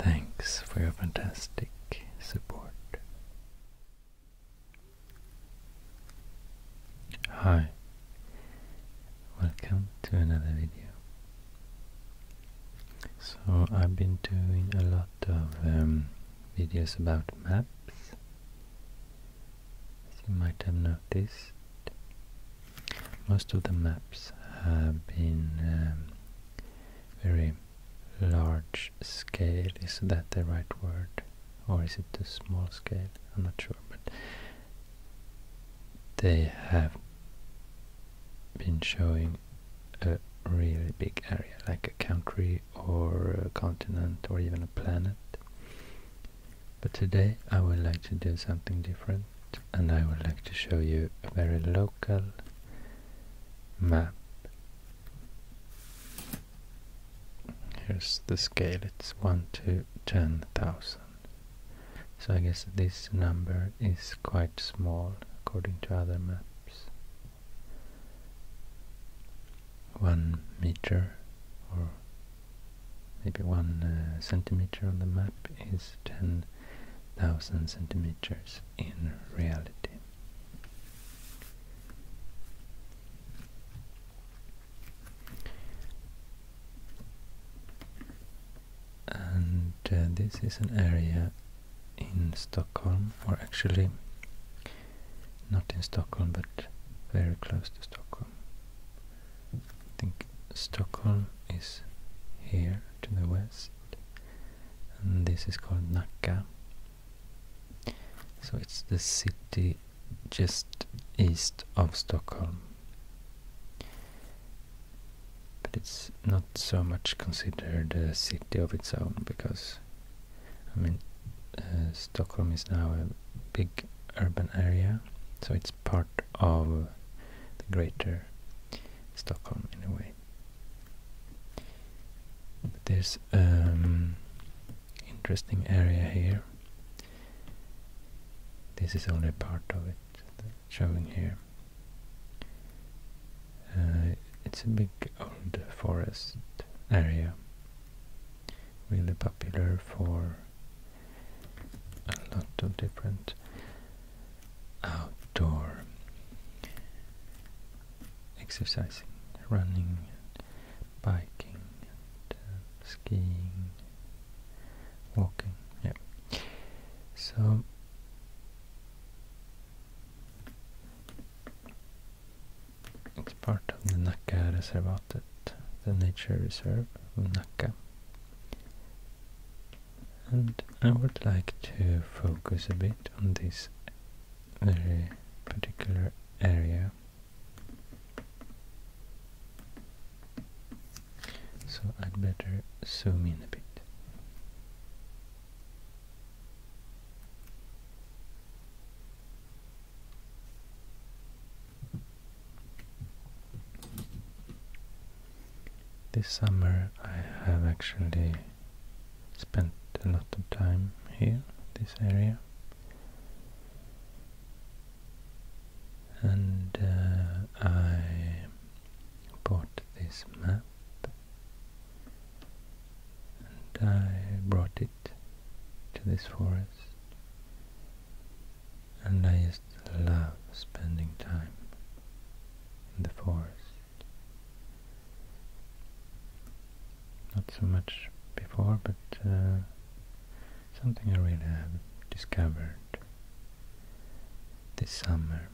Thanks for your fantastic support Hi, welcome to another video. So I've been doing a lot of um, videos about maps, as you might have noticed. Most of the maps have been um, very large scale. Is that the right word? Or is it a small scale? I'm not sure, but they have been showing a really big area, like a country or a continent or even a planet. But today I would like to do something different and I would like to show you a very local map Here's the scale, it's 1 to 10,000. So I guess this number is quite small according to other maps. 1 meter or maybe 1 uh, centimeter on the map is 10,000 centimeters in reality. And uh, this is an area in Stockholm, or actually not in Stockholm, but very close to Stockholm. I think Stockholm is here to the west and this is called Naka. So it's the city just east of Stockholm. But it's not so much considered a city of its own because, I mean, uh, Stockholm is now a big urban area, so it's part of the greater Stockholm in a way. There's um interesting area here. This is only part of it showing here. Uh, it's a big old forest area, really popular for a lot of different outdoor exercising, running, biking, uh, skiing, walking. Yeah. So it's part of the Nacka Reservatet, the nature reserve of Nacka. And I would like to focus a bit on this very particular area. So I'd better zoom in a bit. This summer I have actually spent a lot of time here, this area. And uh, I bought this map and I brought it to this forest and I just love spending time in the forest not so much before, but uh, something I really have discovered this summer.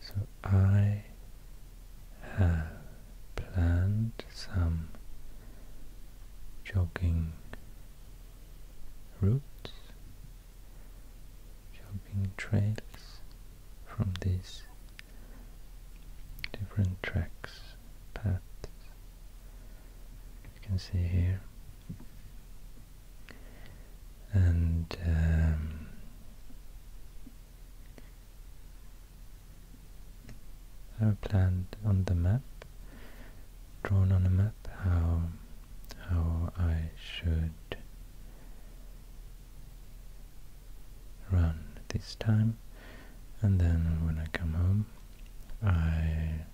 So I have planted some jogging roots jumping trails from these different tracks, paths you can see here and um, I've planned on the map, drawn on a map how how I should Run this time and then when I come home I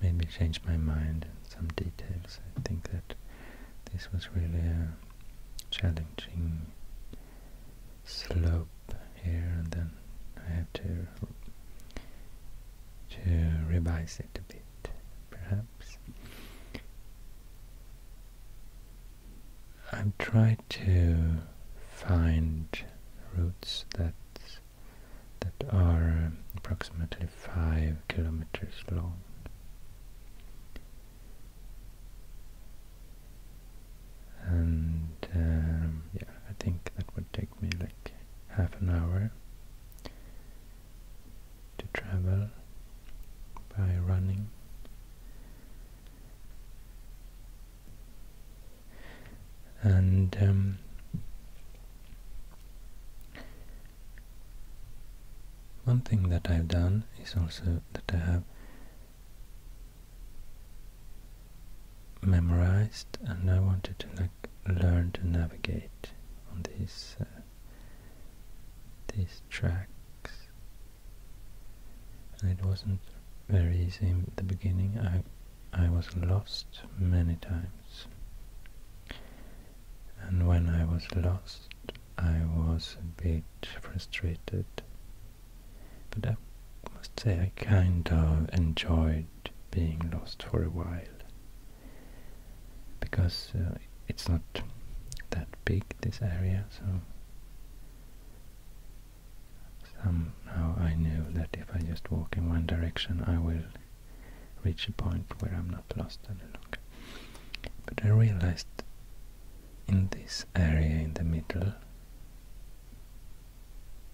maybe change my mind in some details. I think that this was really a challenging slope here and then I have to to revise it a bit perhaps. I've tried to find routes that that are approximately five kilometers long. And um, yeah, I think that would take me like half an hour to travel by running. And um, one thing that I've done is also that I have memorized and I wanted to learn to navigate on this. Uh, these tracks. And it wasn't very easy in the beginning. I I was lost many times. And when I was lost, I was a bit frustrated. But I must say I kind of enjoyed being lost for a while because uh, it's not that big this area so somehow I knew that if I just walk in one direction I will reach a point where I'm not lost any longer. But I realized in this area in the middle,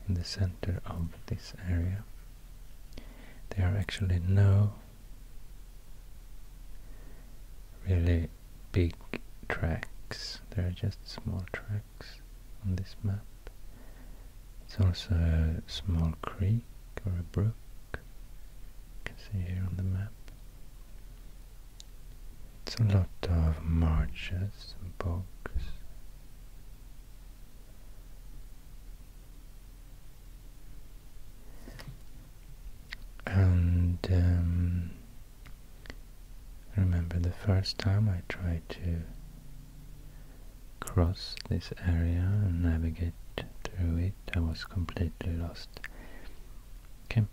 in the center of this area, there are actually no really big tracks. There are just small tracks on this map. It's also a small creek or a brook. You can see here on the map. It's a lot of marches and bogs. And um, remember the first time I tried to cross this area and navigate through it, I was completely lost. Came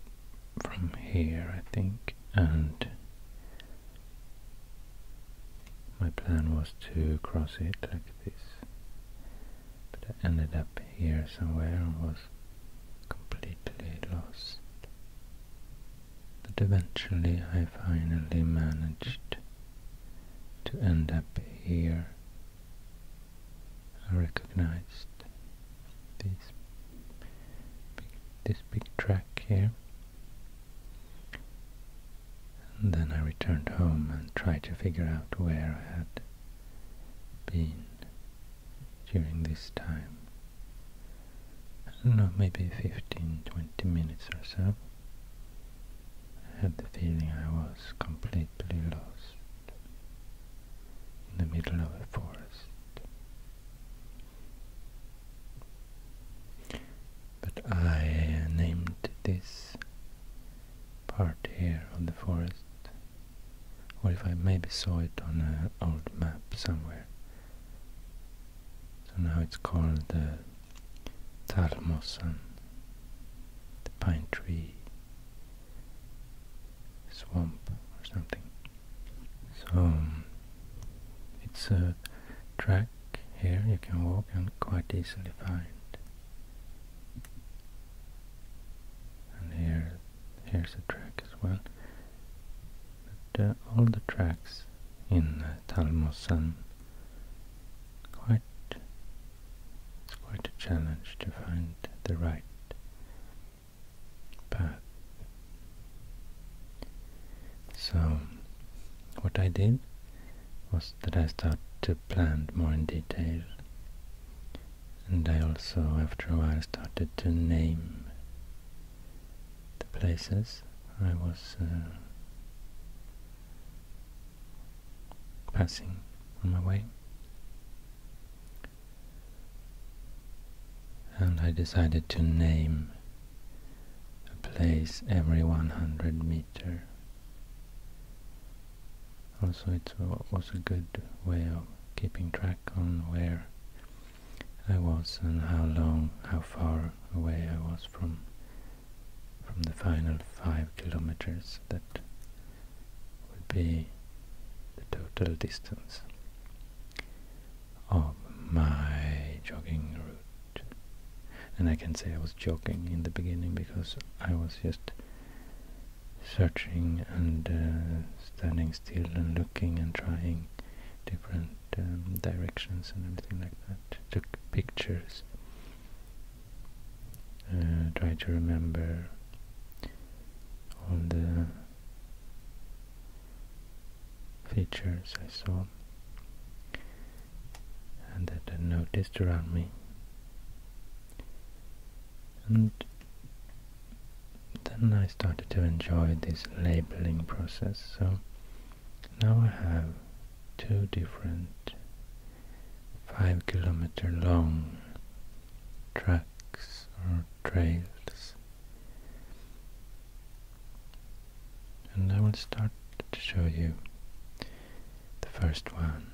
from here, I think, and my plan was to cross it like this but I ended up here somewhere and was completely lost. But eventually I finally managed to end up here. I recognized this big track here. And then I returned home and tried to figure out where I had been during this time. I don't know, maybe 15, 20 minutes or so. I had the feeling I was completely lost in the middle of a forest. But I named this part here of the forest, or if I maybe saw it on an old map somewhere. So now it's called the uh, the pine tree swamp or something. So it's a track here you can walk and quite easily find and here here's a track as well but uh, all the tracks in uh, Talmosan quite it's quite a challenge to find the right path so what I did was that I started to plan more in detail and I also, after a while, started to name the places I was uh, passing on my way. And I decided to name a place every 100 meter also, it was a good way of keeping track on where I was and how long, how far away I was from from the final five kilometers that would be the total distance of my jogging route. And I can say I was joking in the beginning because I was just searching and uh, standing still and looking and trying different um, directions and everything like that. Took pictures. Uh, try to remember all the features I saw and that I noticed around me and then I started to enjoy this labeling process. So now I have two different five kilometer long tracks or trails. And I will start to show you the first one.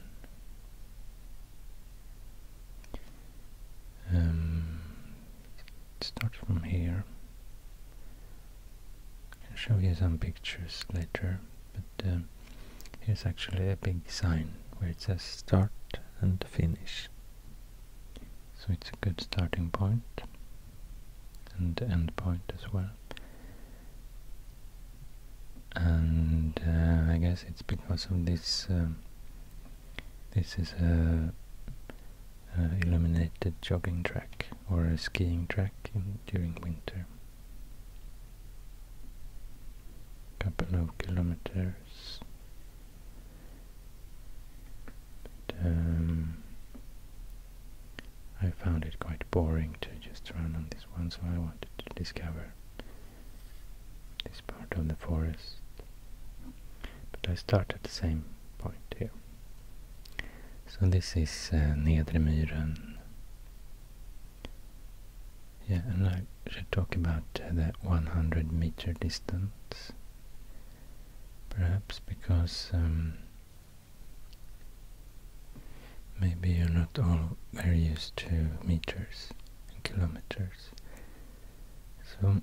Um, start from here. I'll show you some pictures later, but um, here's actually a big sign where it says start and finish. So it's a good starting point and end point as well and uh, I guess it's because of this. Um, this is a, illuminated jogging track or a skiing track during winter. Couple of kilometers. Um, I found it quite boring to just run on this one, so I wanted to discover this part of the forest. But I start at the same point here. So this is uh, Nedre Myren. Yeah, and I should talk about uh, the 100 meter distance. Perhaps because um, maybe you're not all very used to meters and kilometers. So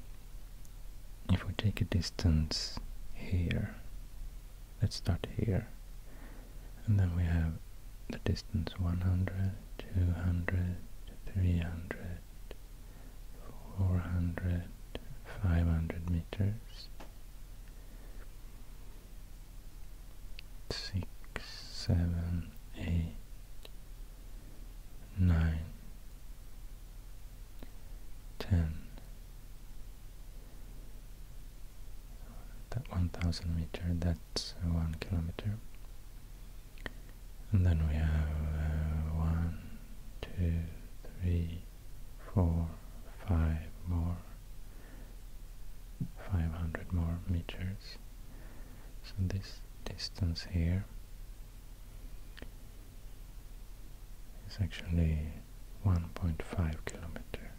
if we take a distance here, let's start here, and then we have the distance 100, 200, 300, 400, 500 meters six, seven, eight, nine, ten. That one thousand meter, that's one kilometer. And then we have uh, one, two, three, four, five more, 500 more meters so this distance here is actually 1.5 kilometer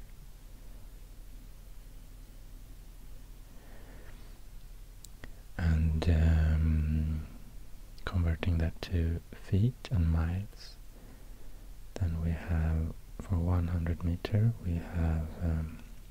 and um, converting that to feet and miles then we have for 100 meter we have um,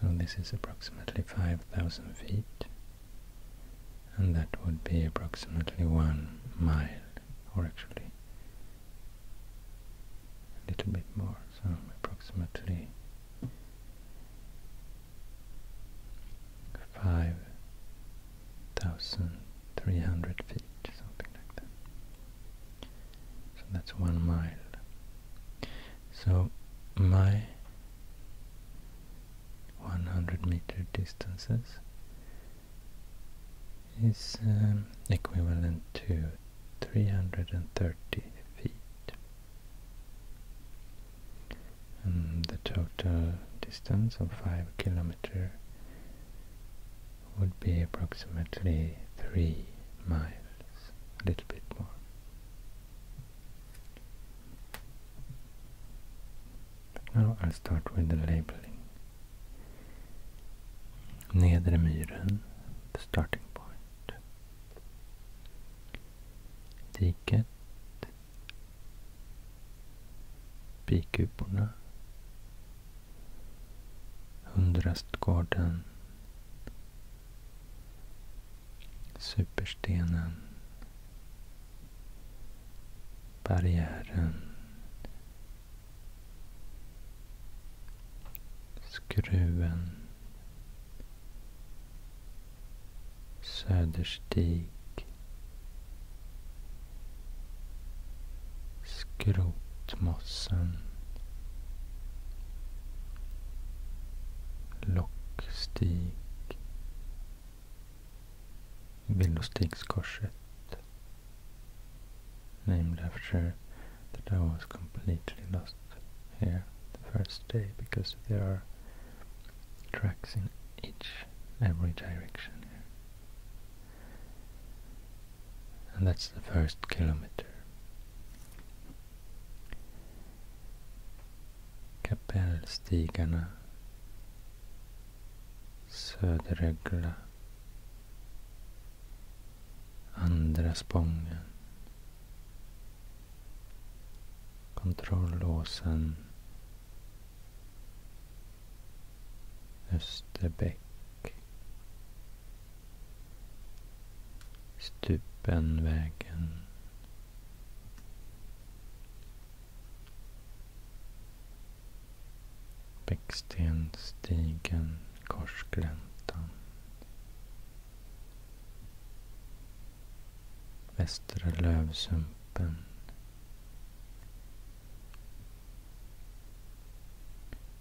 So this is approximately 5,000 feet, and that would be approximately one mile, or actually a little bit more, so approximately five thousand three hundred feet, something like that. So that's one mile. So my 100 meter distances is um, equivalent to 330 feet and the total distance of 5 kilometer would be approximately 3 miles a little bit more. now I'll start with the labeling. Nedre myren, the starting point. Diket. Bikuporna. Hundrastgården Superstenen. Barriären. Skruven. Söderstig. Skrotmossen. Lockstig. Villostigskorset named after that I was completely lost here the first day because there are tracks in each every direction here and that's the first kilometer Kapellstigarna Söderögla Andra spången Kontrollåsen Österbäck Stupenvägen. Bäckstensstigen. Korsgläntan. Västra Lövsumpen.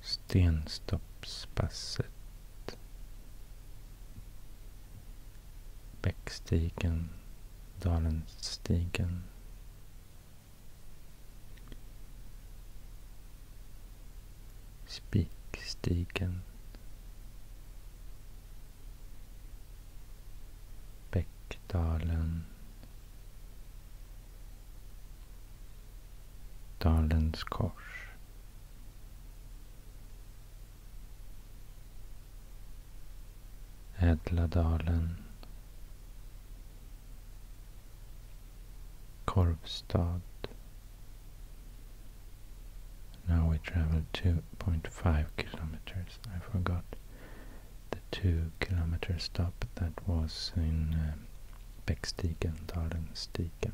Stenstoppspasset Bäckstigen Dalenstigen Spikstigen Bäckdalen Dalens kors Ädladalen Korvstad. now we travel 2.5 kilometers I forgot the 2 kilometers stop that was in uh, Bäckstigen, Dalenstigen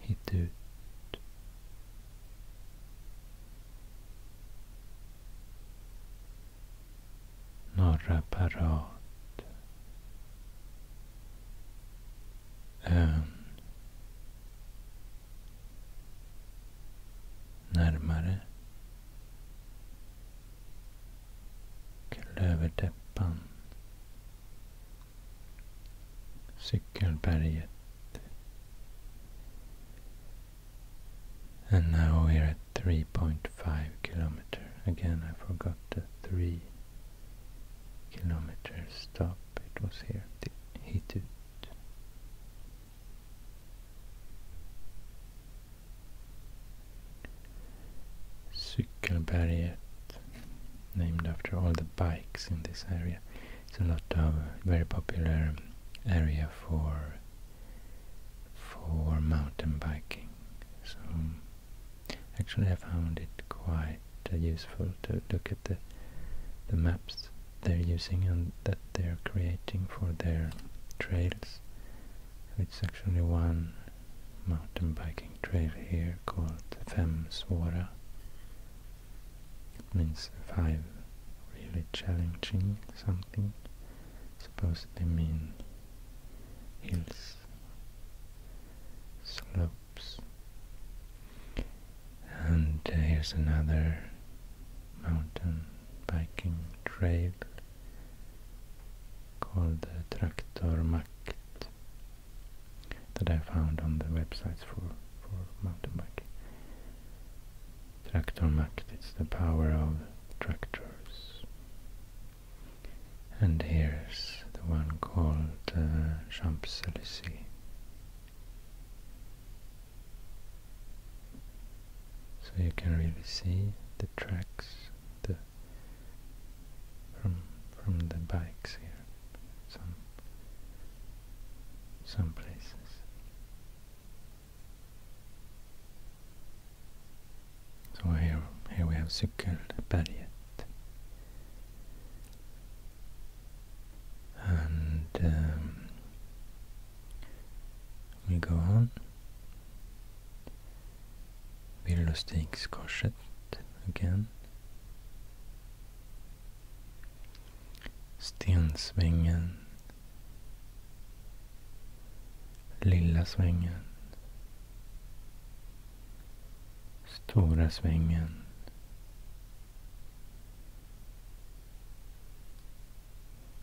Hit ut. Norra parat. Ön. Närmare. And now we're at 3.5 kilometer. Again, I forgot the 3 kilometers. stop. It was here, Hitut. Cykelberget, named after all the bikes in this area. It's a lot of very popular area for for mountain biking. So actually, I found it quite uh, useful to look at the the maps they're using and that they're creating for their trails. It's actually one mountain biking trail here called Femsvåra. It means five really challenging something, supposedly mean hills, slopes. And uh, here's another mountain biking trail called the Traktormakt that I found on the websites for, for mountain biking. Traktor Macht, it's the power of tractors. And here's the one called uh, Champs-Élysées. So you can really see the tracks, the from from the bikes here some some places so here here we have cykelberget and um, we go on Below again. Stensvängen. Lilla svängen. Stora svängen.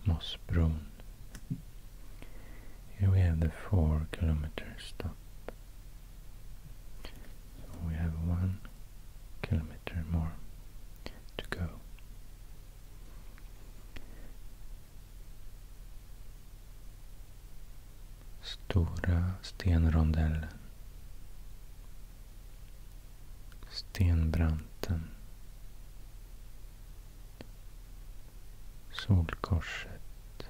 Mossbron. Here we have the four kilometer stop. we have one kilometer more to go. Stora stenrondellen. Stenbranten. Solkorset.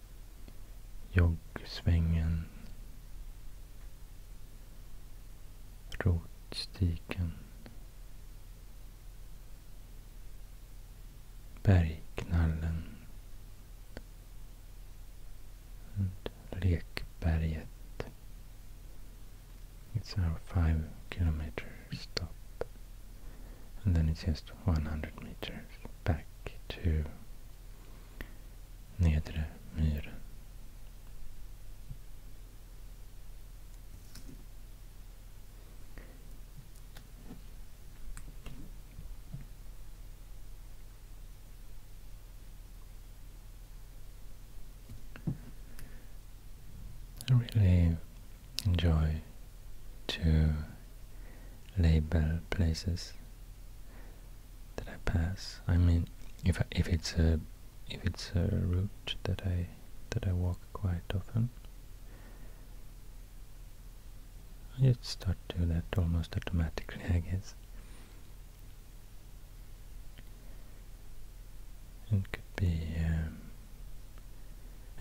Joggsvängen. Rotstiken. Bergknallen. Lekberget. It's our five kilometer stop. And then it's just 100 meters back to Nedre Myren I really enjoy to label places that I pass. I mean, if I, if it's a if it's a route that I that I walk quite often, I just start to do that almost automatically, I guess. It could be um,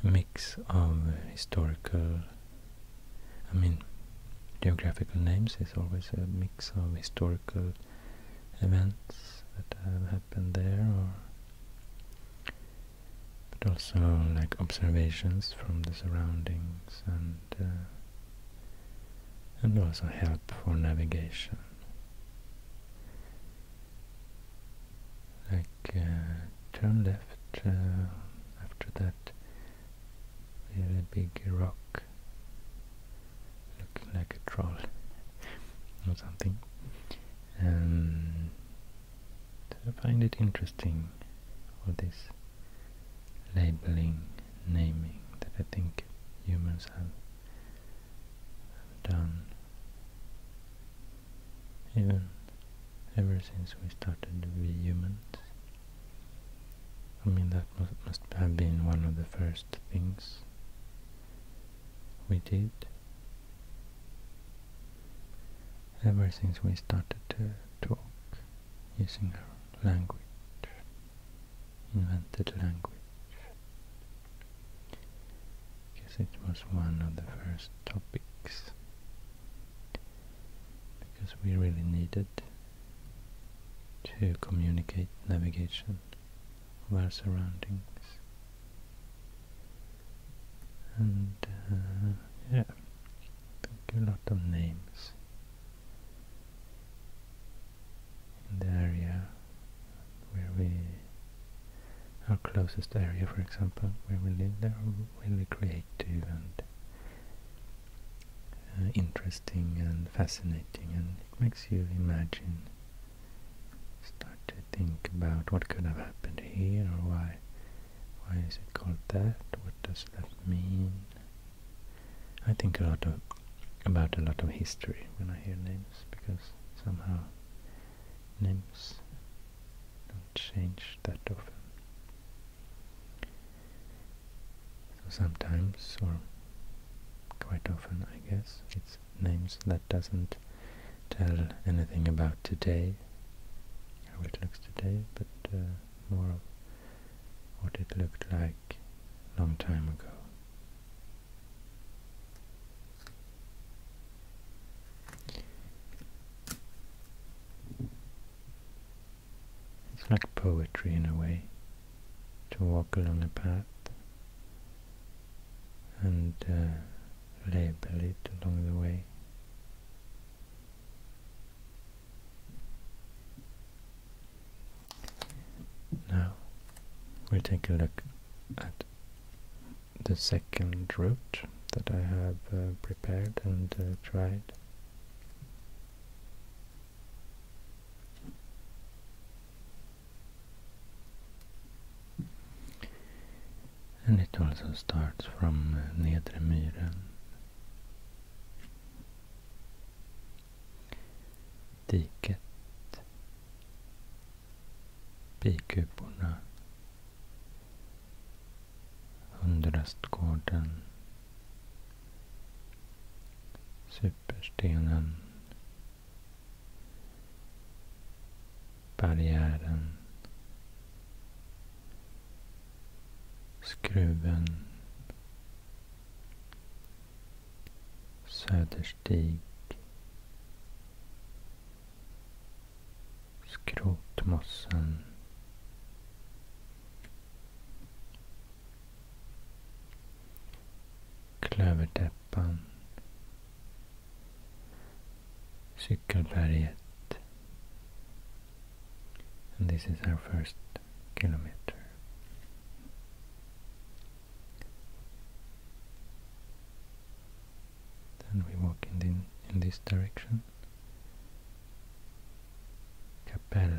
a mix of historical I mean, geographical names is always a mix of historical events that have happened there, or but also like observations from the surroundings and uh, and also help for navigation. Like uh, turn left uh, after that with a big rock looking like a troll or something. Um, I find it interesting all this labeling, naming that I think humans have, have done even ever since we started to be humans. I mean, that must have been one of the first things we did ever since we started to talk using our language, invented language. Because it was one of the first topics because we really needed to communicate navigation of our surroundings. And uh, yeah, a lot of names in the area where we, our closest area for example, where we live, there will we create to and uh, interesting and fascinating and it makes you imagine start to think about what could have happened here or why why is it called that what does that mean I think a lot of about a lot of history when I hear names because somehow names don't change that often so sometimes, or quite often I guess, it's names that doesn't tell anything about today, how it looks today, but uh, more of what it looked like long time ago. It's like poetry in a way, to walk along a path and uh, label it along the way. Now we'll take a look at the second route that I have uh, prepared and uh, tried. And it also starts from eh, Nedre Myren. Diket. Bikuporna. Under rastgården. Superstenen. Barriären. Skruven. Söderstig. Skrotmossen. Klöverdäppan Cykelberget and this is our first kilometer. Then we walk in, in this direction. Kapell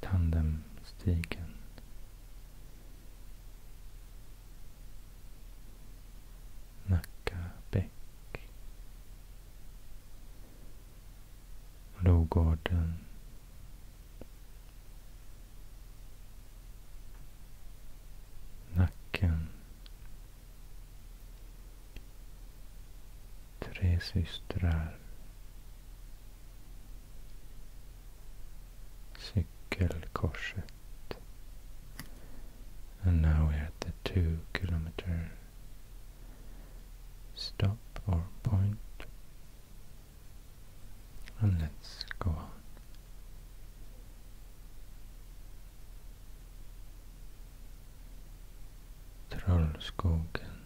tandemstigen. Nacka bäck. Logården. Nacken. Tre systrar. Cykelkorset. And now we're at the two kilometer stop or And let's go on. Trollskogen.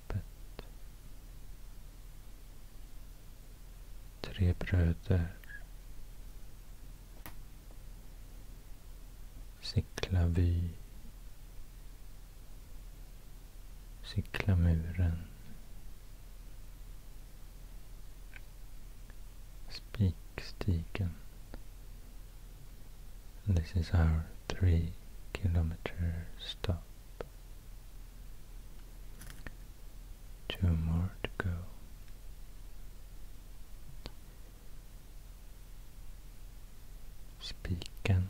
sopet. Tre bröder. vy Sicklavy. muren Spikstigen. This is our three kilometer stop. Two more to go. Spiken.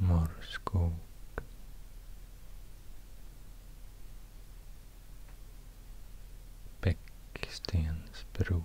Morskog. Bäckstensbro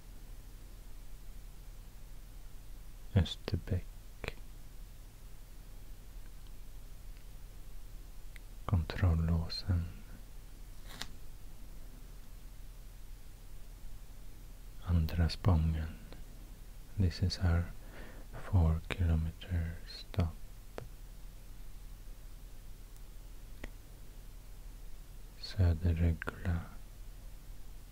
Österbäck. Kontrollåsen. Andra spången. This is our four kilometer stop. Söderrögla.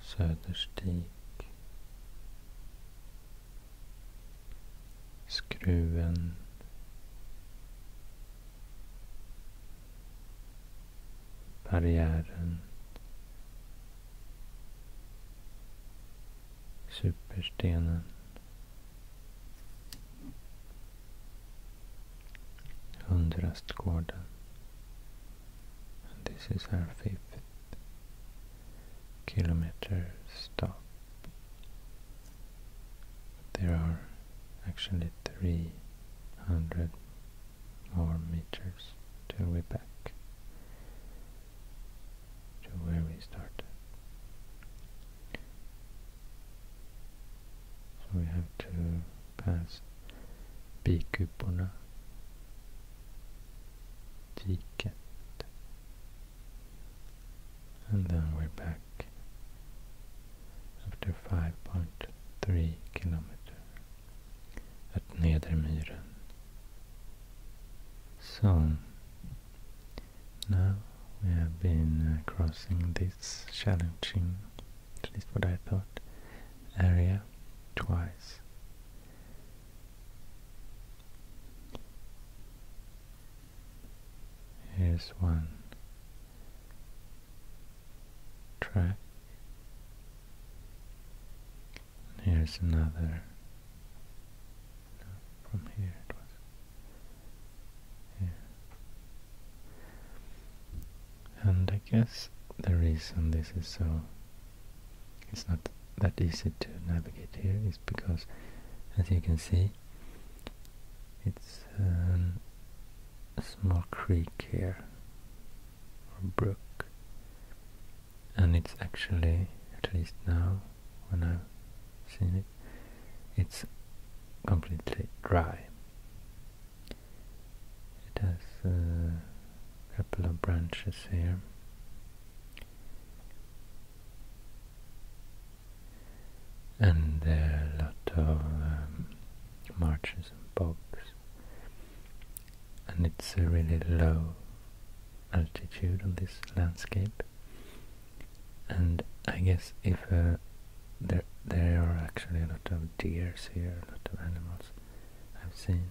Söderstig Skruven Barriären Superstenen Hundrastgården and this is our fifth kilometer stop. There are actually 300 more meters to we're back to where we started. So we have to pääs piikkiuppona ticket and then we're back after 5.3 kilometer at Nedermyren. So now we have been uh, crossing this challenging, at least what I thought, area twice. Here's one track. Here's another. from here it was. And I guess the reason this is so it's not that easy to navigate here is because as you can see it's a small creek here or brook and it's actually at least now when I've seen it it's completely dry it has a couple of branches here. And there are a lot of um, marshes and bogs. And it's a really low altitude on this landscape. And I guess if uh, there there are actually a lot of deer here, a lot of animals. I've seen.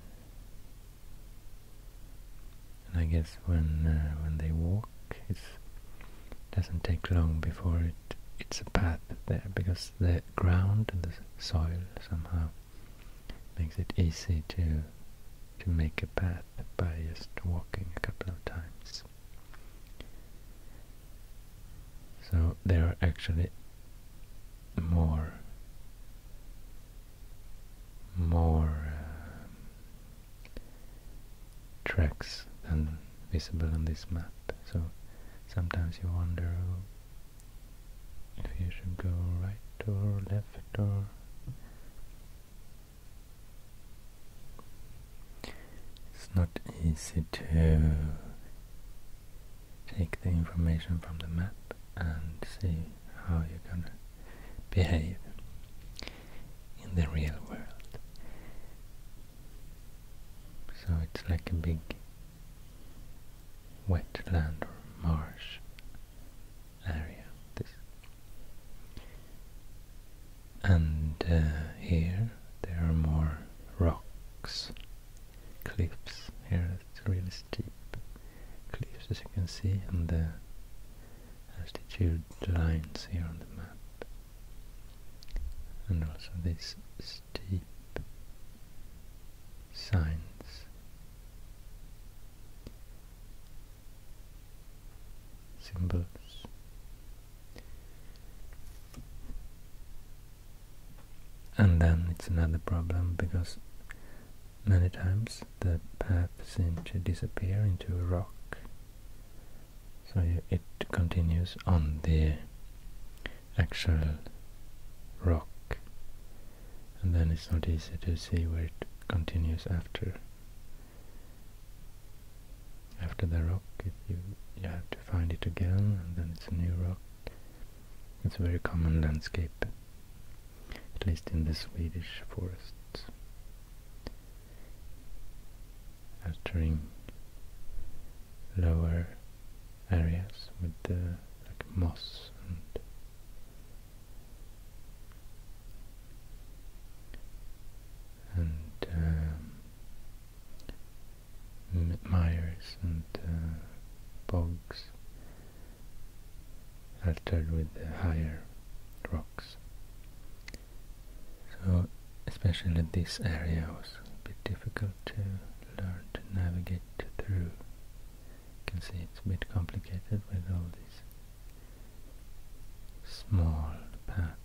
And I guess when uh, when they walk, it doesn't take long before it it's a path there because the ground and the soil somehow makes it easy to to make a path by just walking a couple of times. So there are actually more more um, tracks than visible on this map so sometimes you wonder if you should go right or left or it's not easy to take the information from the map and see how you're gonna behave in the real world. So it's like a big wetland or marsh area. This. And uh, here there are more rocks cliffs here, it's really steep cliffs as you can see and the altitude lines here on the map and also these steep signs symbols and then it's another problem because many times the path seems to disappear into a rock so it continues on the actual rock and then it's not easy to see where it continues after after the rock it, you, you have to find it again and then it's a new rock it's a very common landscape, at least in the Swedish forests. Altering lower areas with the like moss and um, Myers and uh, bogs altered with the higher rocks. So especially this area was a bit difficult to learn to navigate through. You can see it's a bit complicated with all these small paths.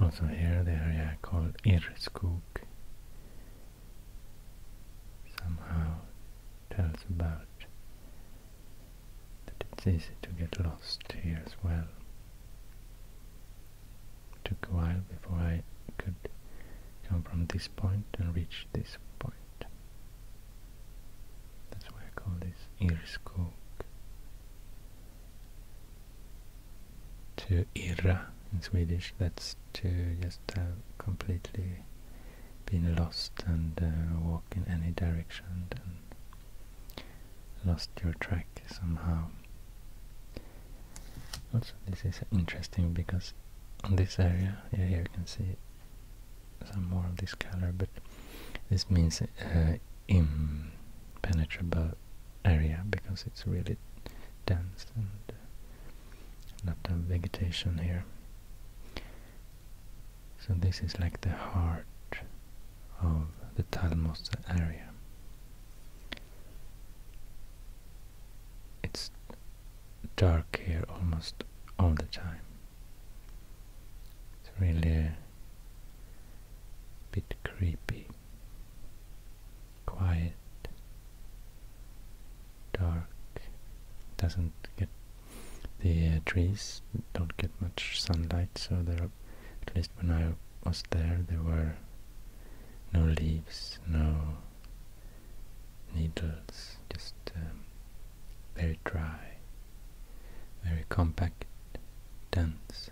Also here the area called Ereskog somehow tells about that it's easy to get lost here as well. took a while before I could come from this point and reach this point. That's why I call this Irskog to irra in Swedish. That's to just have uh, completely been lost and uh, walk in any direction and lost your track somehow. Also, this is interesting because on this area, yeah, here you can see some more of this color, but this means uh, impenetrable area because it's really dense and uh, not a vegetation here. So this is like the heart of the Talmosa area. It's dark here almost all the time. It's really bit creepy, quiet, dark, doesn't get the uh, trees don't get much sunlight, so there at least when I was there, there were no leaves, no needles, just um, very dry, very compact, dense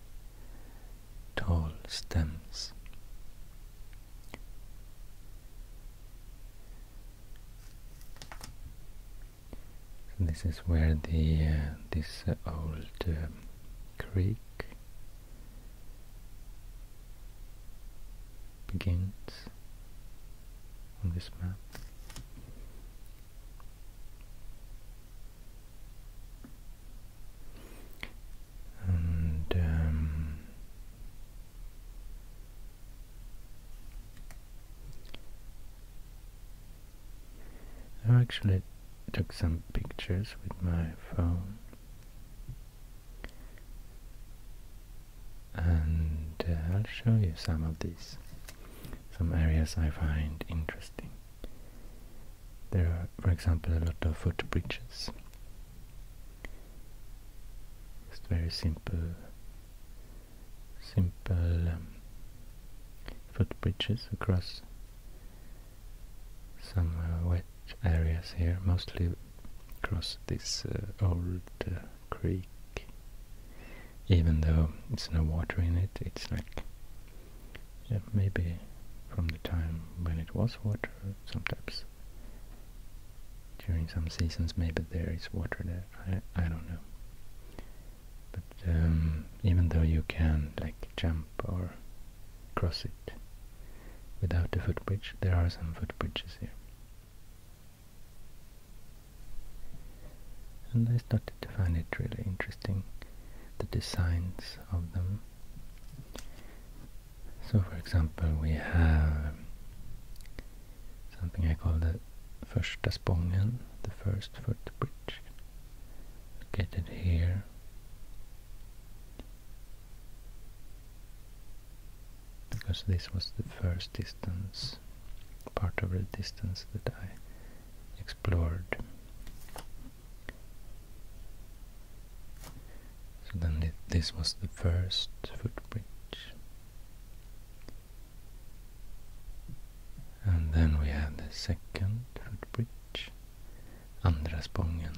tall stems. this is where the uh, this uh, old uh, creek begins on this map. Um, I actually took some pictures with my phone and uh, I'll show you some of these some areas I find interesting there are, for example, a lot of foot bridges. Just very simple, simple um, footbridges across some uh, wet areas here, mostly across this uh, old uh, creek. Even though it's no water in it, it's like yeah, maybe from the time when it was water, sometimes during some seasons maybe there is water there, I, don't know. But um, even though you can like jump or cross it without a footbridge, there are some footbridges here. And I started to find it really interesting, the designs of them. So for example we have something I call the Första Spången, the first bridge. Get it here. Because this was the first distance, part of the distance that I explored so then this was the first footbridge. And then we have the second footbridge, Andraspången.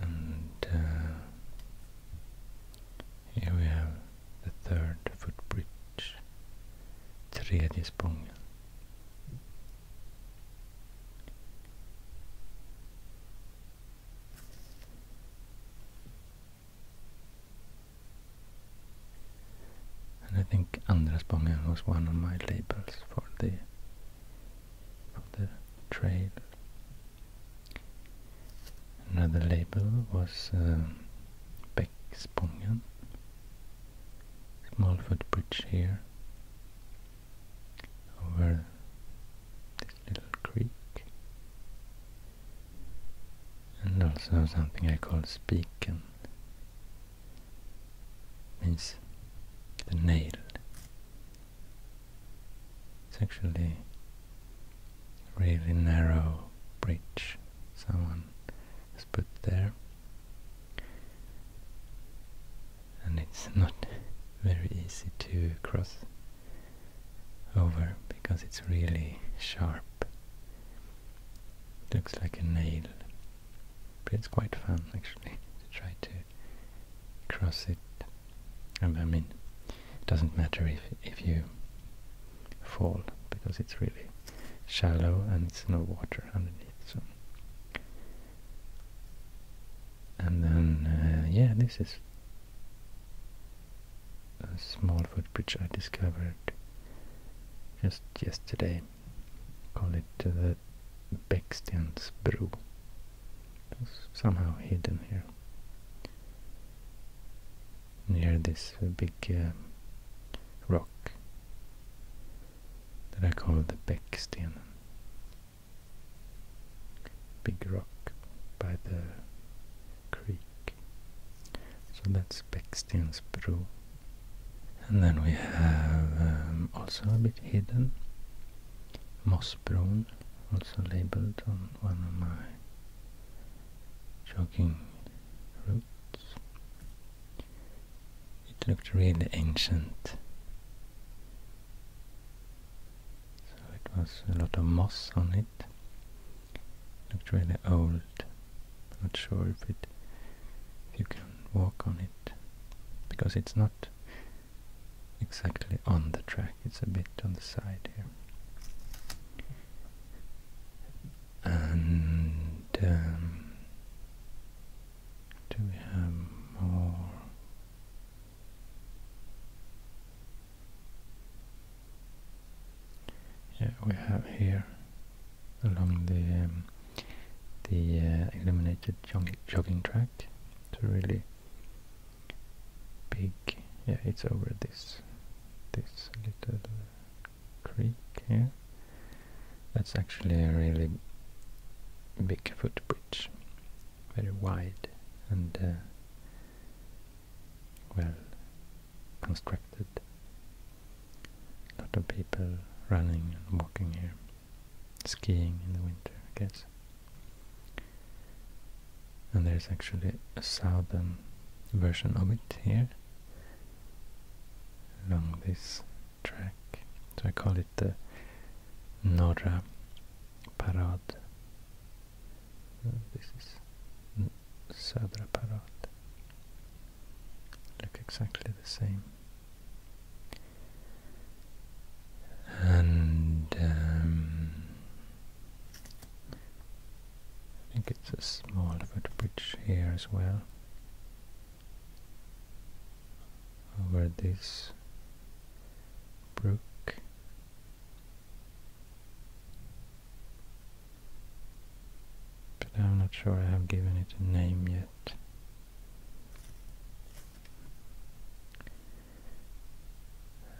And uh, here we have the third footbridge, tredje sprången. And I think andra sprången was one of my labels for the for the trail Another label was uh, Bäckspången, small footbridge here over this little creek, and also something I call Spiken, means the nail. It's actually a really narrow bridge someone has put there. And it's not very easy to cross over because it's really sharp. It looks like a nail. But it's quite fun actually to try to cross it and I mean, it doesn't matter if if you fall because it's really shallow and it's no water underneath. So, and then uh, yeah, this is a small footbridge I discovered just yesterday. Call it the uh, Beckstensbro. It's somehow hidden here here near this big um, rock that I call the Becksten. Big rock by the creek. So that's brook. And then we have um, also a bit hidden Mossbron also labeled on one of my jogging roots. It looked really ancient. So it was a lot of moss on it. Looked really old. Not sure if it if you can walk on it because it's not exactly on the track, it's a bit on the side here and um, do we have more? Yeah, we have here along the um, the uh, illuminated jogging track. It's really big yeah it's over this this little creek here that's actually a really big footbridge very wide and uh, well constructed a lot of people running and walking here skiing in the winter I guess and there's actually a southern version of it here along this track so I call it the Norra Parad this is Södra Parad look exactly the same and um, I think it's a small bridge here as well. Over this brook. But I'm not sure I have given it a name yet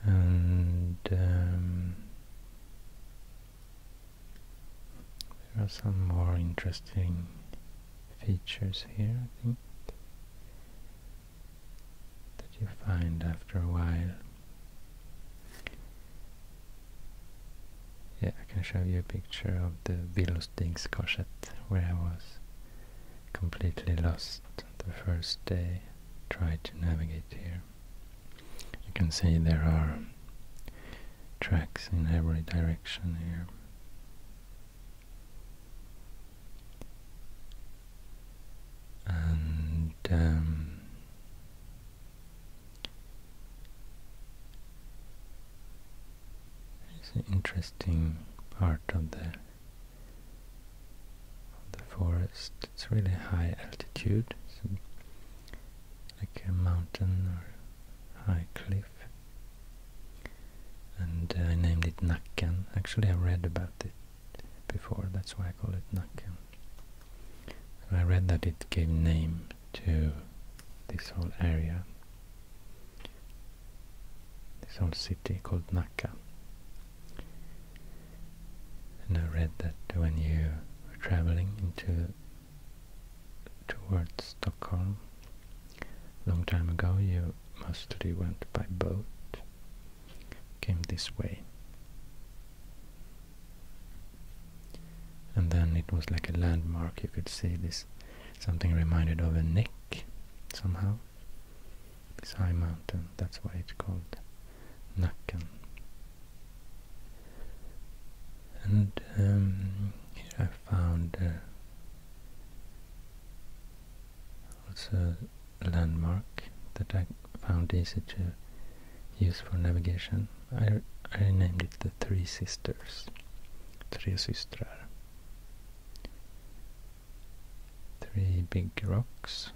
and um, there are some more interesting features here, I think, that you find after a while. Yeah, I can show you a picture of the Billostigskorsett where I was completely lost the first day try to navigate here. You can see there are tracks in every direction here. And um, it's an interesting part of the the forest. It's really high altitude, It's like a mountain or high cliff. And uh, I named it Nakan. Actually, I read about it before, that's why I call it Nakan. I read that it gave name to this whole area, this whole city called Naka. And I read that when you were traveling into towards Stockholm a long time ago, you mostly went by boat, came this way. And then it was like a landmark, you could see this, something reminded of a neck somehow this high mountain, that's why it's called Nakan. And um, I found uh, also a landmark that I found easy to use for navigation. I, I named it the Three Sisters, Tre Systrar three big rocks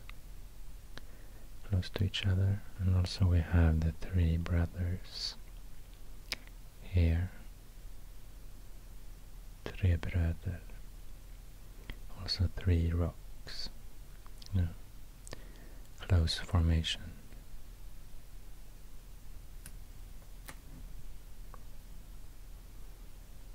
close to each other and also we have the three brothers here Tre bröder also three rocks no. close formation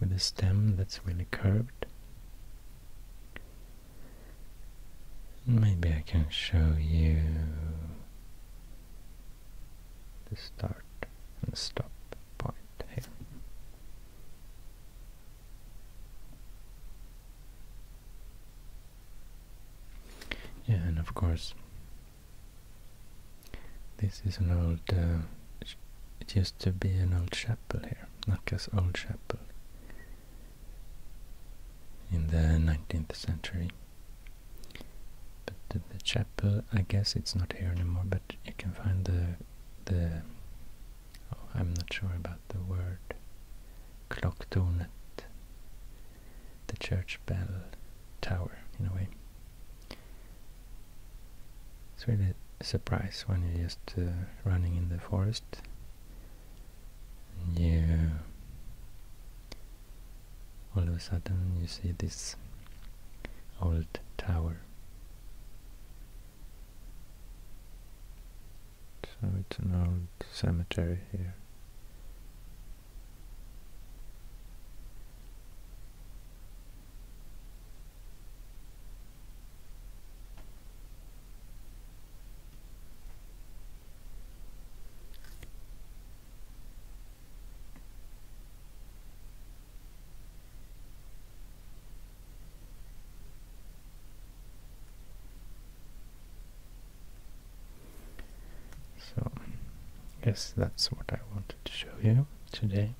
with a stem that's really curved. Maybe I can show you the start and stop point here. Yeah, and of course this is an old, uh, it used to be an old chapel here, Not Nacka's old chapel, in the 19th century. But the, chapel, I guess it's not here anymore, but you can find the, the oh, I'm not sure about the word, clock Klocktornet, the church bell tower, in a way. It's really a surprise when you're just uh, running in the forest. And you all of a sudden you see this old tower. So it's an old cemetery here. So, yes, that's what I wanted to show you today.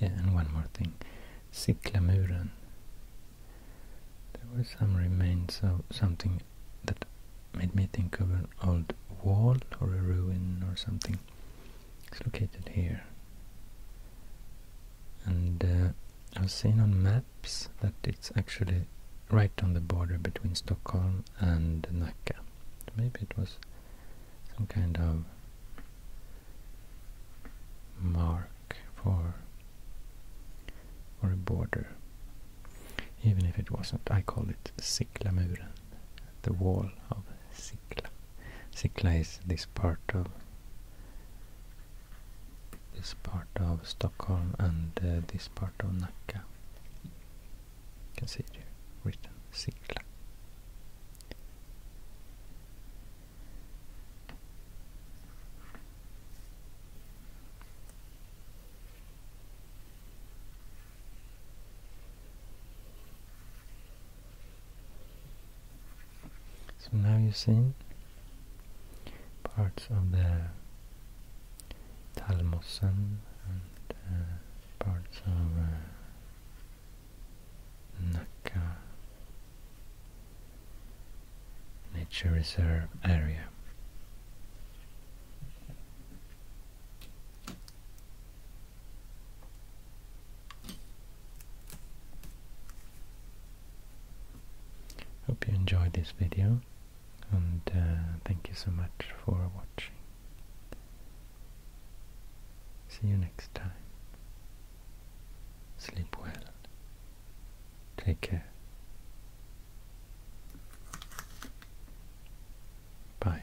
Yeah, and one more thing. Siklamuren. There were some remains of something that made me think of an old wall or a ruin or something it's located here. And uh, I've seen on maps that it's actually right on the border between Stockholm and Nacka. Maybe it was some kind of mark for or a border. Even if it wasn't, I call it Siklamuren, the wall of Sikla. Sikla is this part of this part of Stockholm and uh, this part of Nacka. You can see it here, written Sikla. So now you see parts of the Talmossen and uh, parts of uh, nature reserve area. Hope you enjoyed this video and uh, thank you so much for watching. See you next time. Sleep well. Take care. Bye.